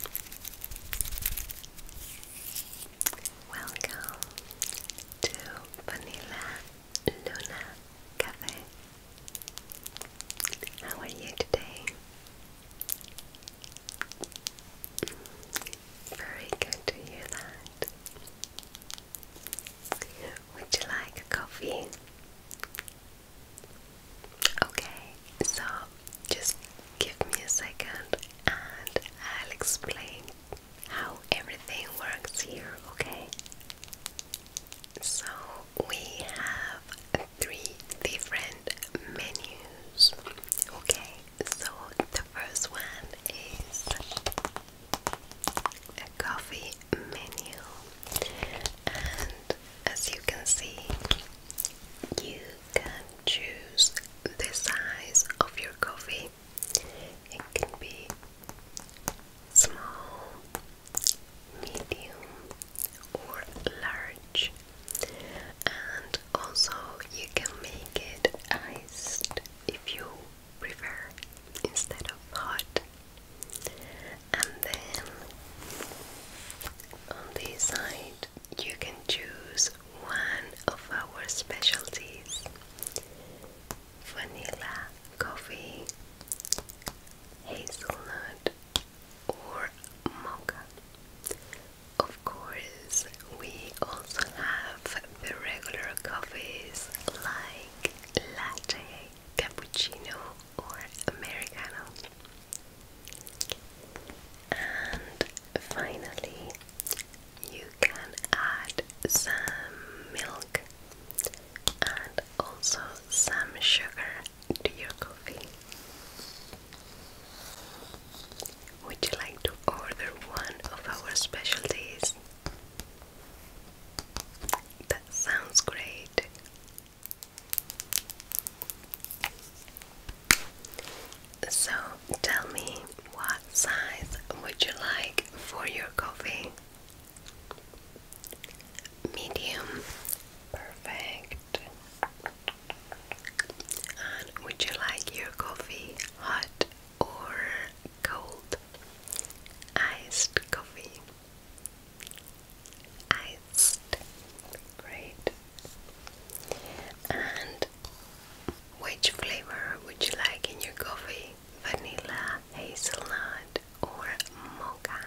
Welcome to Vanilla Luna Cafe. How are you today? Very good to hear that. Would you like a coffee? Okay, so just give me a second and I'll explain how everything works here, okay? So we have three different menus, okay? So the first one is a coffee menu, and as you can see, you can choose the size of your coffee. It can be small, medium, or large, and also you can make it iced if you prefer instead of hot. And then on this side, you can choose one of our specialties vanilla, coffee, hazelnut, or mocha. Of course, we also have the regular coffees like latte, cappuccino, or americano. And finally, you can add some milk and also some sugar to your coffee. Would you like to order one of our specialties? That sounds great. So tell me what size would you like for your coffee? Medium, perfect. And would you like your coffee hot or cold? Iced coffee. Great. And which flavor would you like in your coffee? Vanilla, hazelnut, or mocha?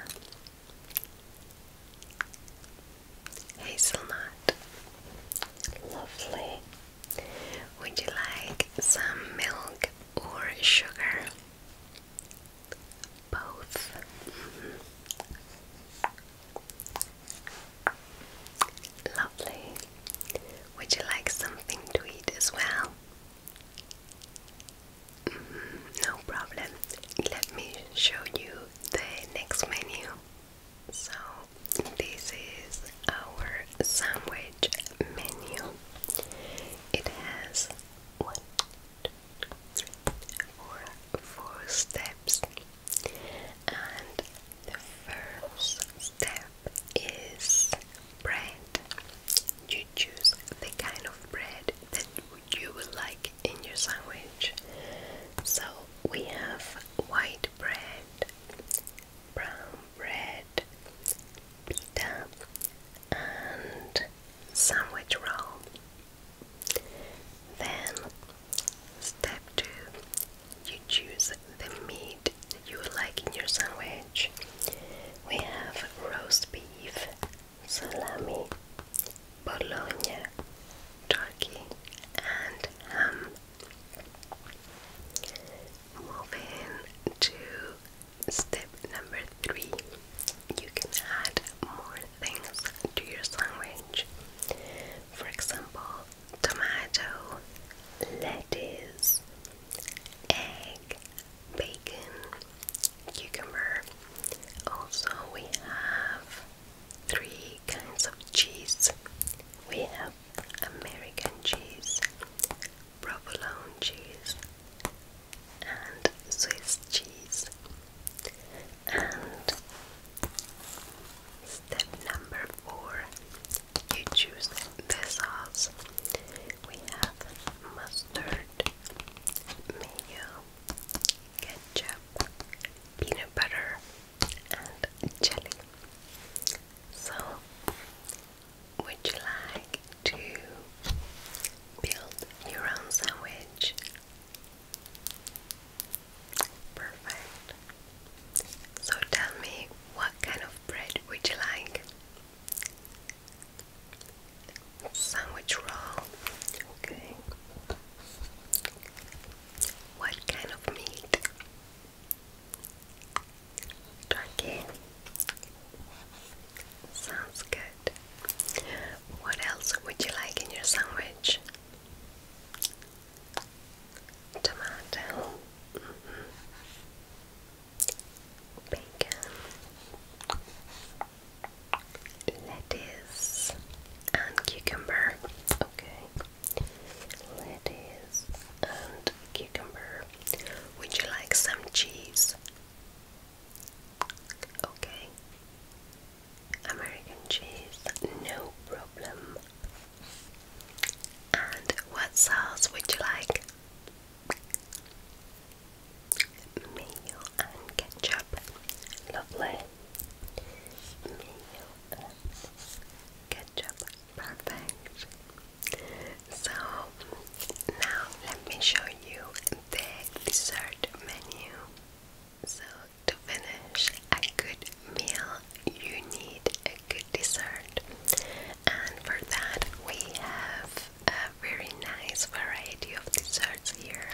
Hazelnut. Lovely. Would you like some milk or sugar? Both. Mm-hmm. Lovely. Would you like something to eat as well? Mm-hmm, no problem. Let me show you the next menu. So, this is our sandwich menu. It has one, two, three, four, four steps. And the first step is bread. You choose the kind of bread that you would like in your sandwich. So we have white bread, brown bread, and sandwich roll. Then Step 2. You choose the meat that you like in your sandwich. We have roast beef, salami, bologna, turkey, and ham. Moving to step number three, you can add more things to your sandwich. For example, tomato, lettuce, egg, bacon, cucumber. Also, we have three kinds of cheese. We have American cheese, provolone cheese, and Swiss cheese. And Step number four you choose the sauce. We have mustard, mayo, ketchup, peanut butter, and jelly. So, would you like to build your own sandwich Perfect. So tell me what kind of bread would you like? Sandwich roll. Okay. What kind of meat? Turkey. Sounds good. What else would you like in your sandwich? tomato, bacon, lettuce, and cucumber. Okay, lettuce and cucumber. Would you like some cheese? Okay. American cheese, no problem. And what sauce would you like? Mayo and ketchup. Lovely. Mayo and ketchup. Perfect. So now let me show you the dessert menu. So to finish a good meal, you need a good dessert, and for that, we have a very nice variety of desserts here.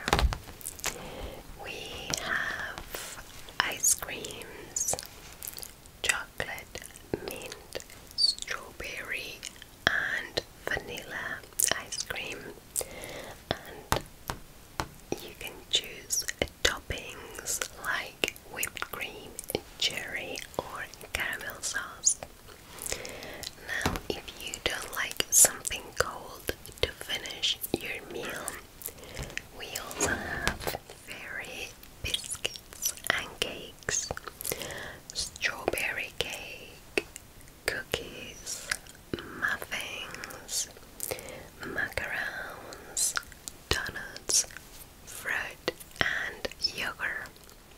We have ice creams, chocolate, mint, strawberry, and vanilla ice cream you can choose toppings like whipped cream, cherry, or caramel sauce. Now, if you don't like something cold to finish your meal, we also have fairy biscuits and cakes, strawberry cake, cookies, muffins, macarons, donuts, fruit, and yogurt.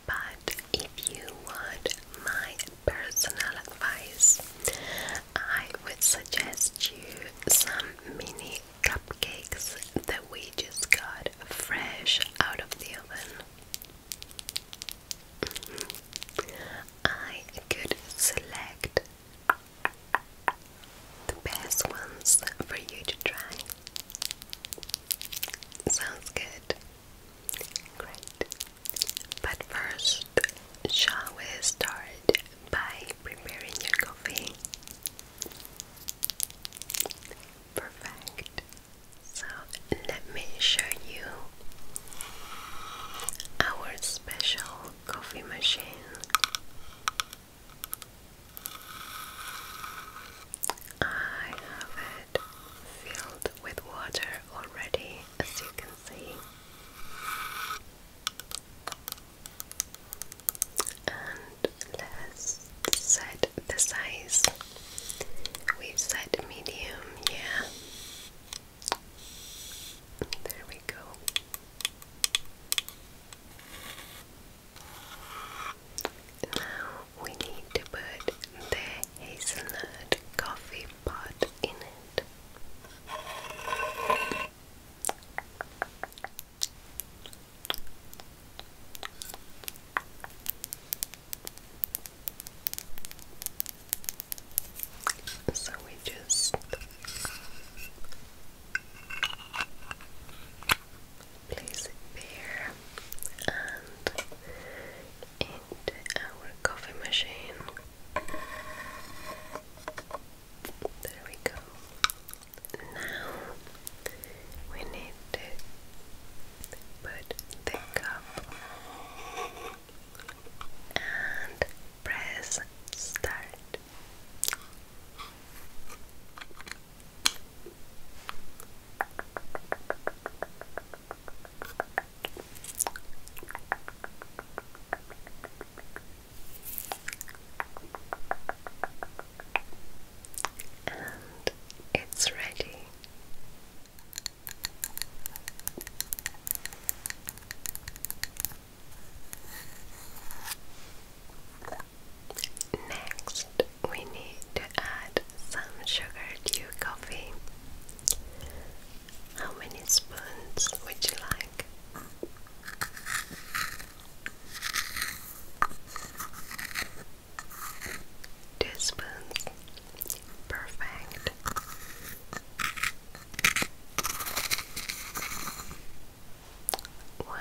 But if you want my personal advice, I would suggest you some mini cupcakes that we just got fresh out of the oven. Mm-hmm. I could select the best ones for you to try. Sounds good. Great. But first, shall we start by preparing your coffee? Perfect. So, let me show you our special coffee machine. I have it filled with water already, as you can see. And let's set the size. we set medium, yeah. There we go. Now we need to put the hazelnut coffee pot in it. So we just place it there and into our coffee machine. There we go. Now we need to put the cup and press start. And it's ready. Next, we need to add some sugar to your coffee. How many spoons would you like? Two spoons. Perfect. One.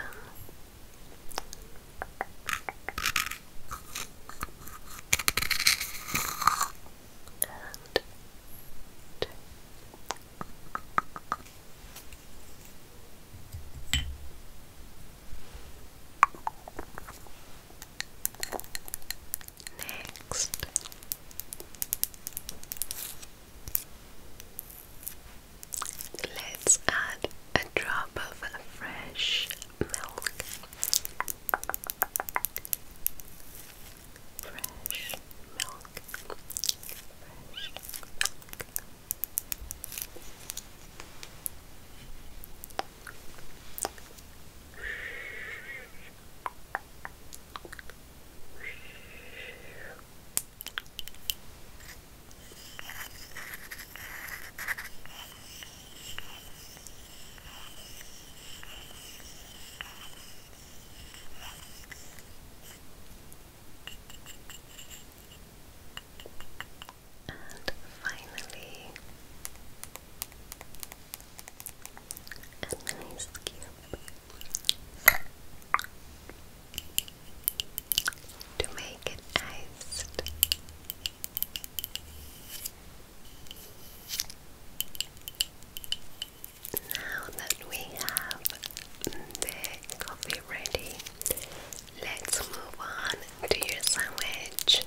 And two. Next, Let's add a drop of fresh milk. Fresh milk. Fresh milk. Shh. Shh. And finally, a nice cute to make it iced. Now that we have the coffee ready, let's move on to your sandwich.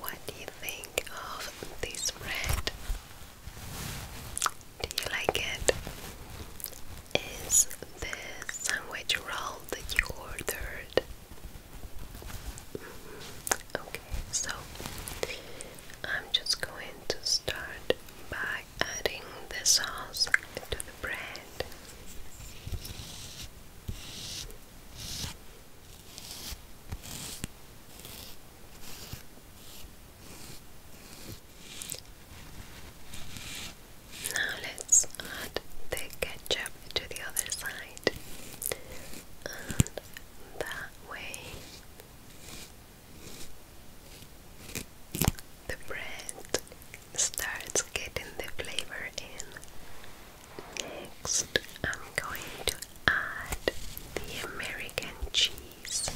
What do you think of this bread? Do you like it? Is the sandwich roll that you ordered? Mm-hmm. Okay, so I'm just going to start by adding the sauce to the bread. Now let's add the ketchup to the other side, and that way the bread starts getting the flavor in. Next, I'm going to add the American cheese these.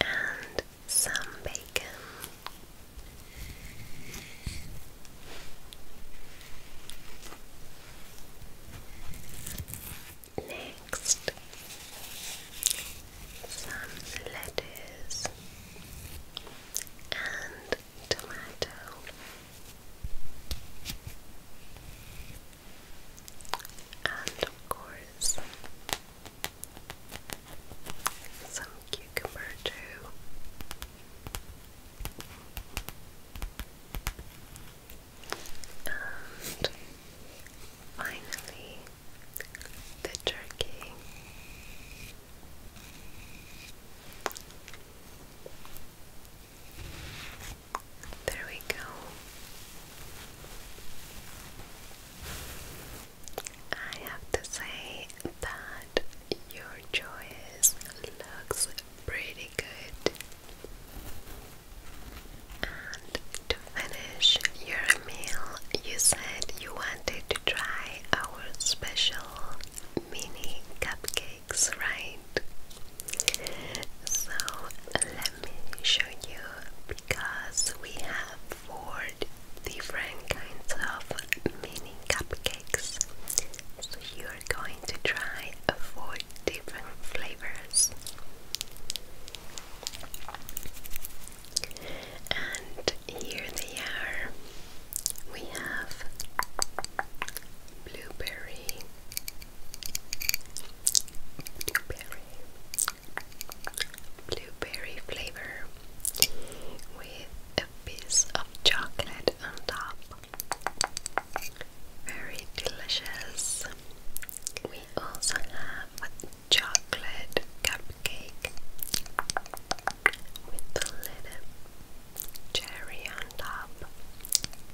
And some bacon. Next, some lettuce and tomato. And of course, some cucumber too. And finally, the turkey. There we go. I have to say that your choice looks pretty good. And to finish your meal, you said you wanted to try our special mini cupcake likes, right? So let me show you because we have four different kinds of mini cupcakes. So you're going to try four different flavors. And here they are. We have blueberry, blueberry blueberry flavor with a piece of chocolate on top. Very delicious. We also have chocolate cupcake with a little cherry on top.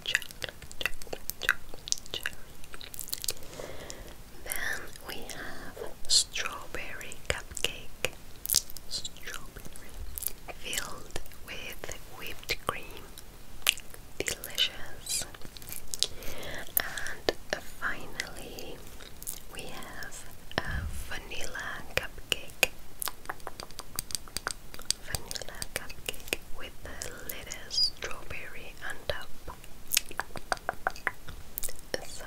Chocolate then we have strawberry cupcake. filled with whipped cream. Delicious. And finally, we have a vanilla cupcake vanilla cupcake with the lettuce, strawberry on top. So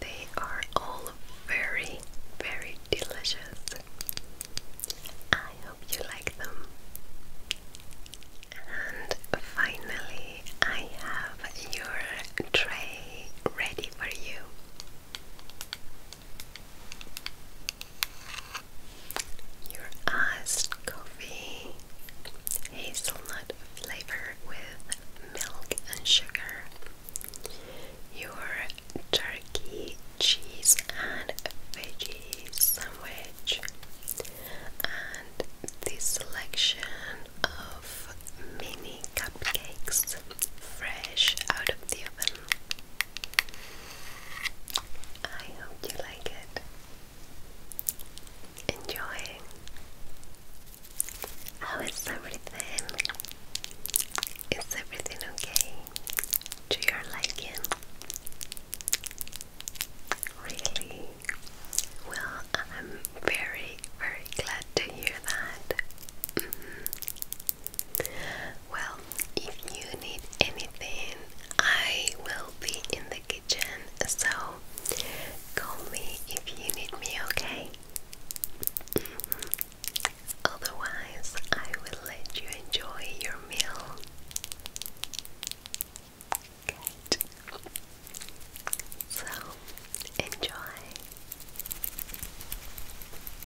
they are all very, very delicious. I hope you like them. And finally, I have your tray ready for you. Your iced coffee, hazelnut flavor with milk and sugar. Your turkey, cheese, and veggie sandwich. And the selection of mini cupcakes fresh out of the oven. I hope you like it. Enjoy. How is everything? Is everything okay? To your liking? Really? Well, I'm very, very glad to hear that. Mm-hmm. Well, if you need anything, I will be in the kitchen, so call me if you need me, okay? Mm-hmm. Otherwise, I will let you enjoy your meal. Good. So, enjoy.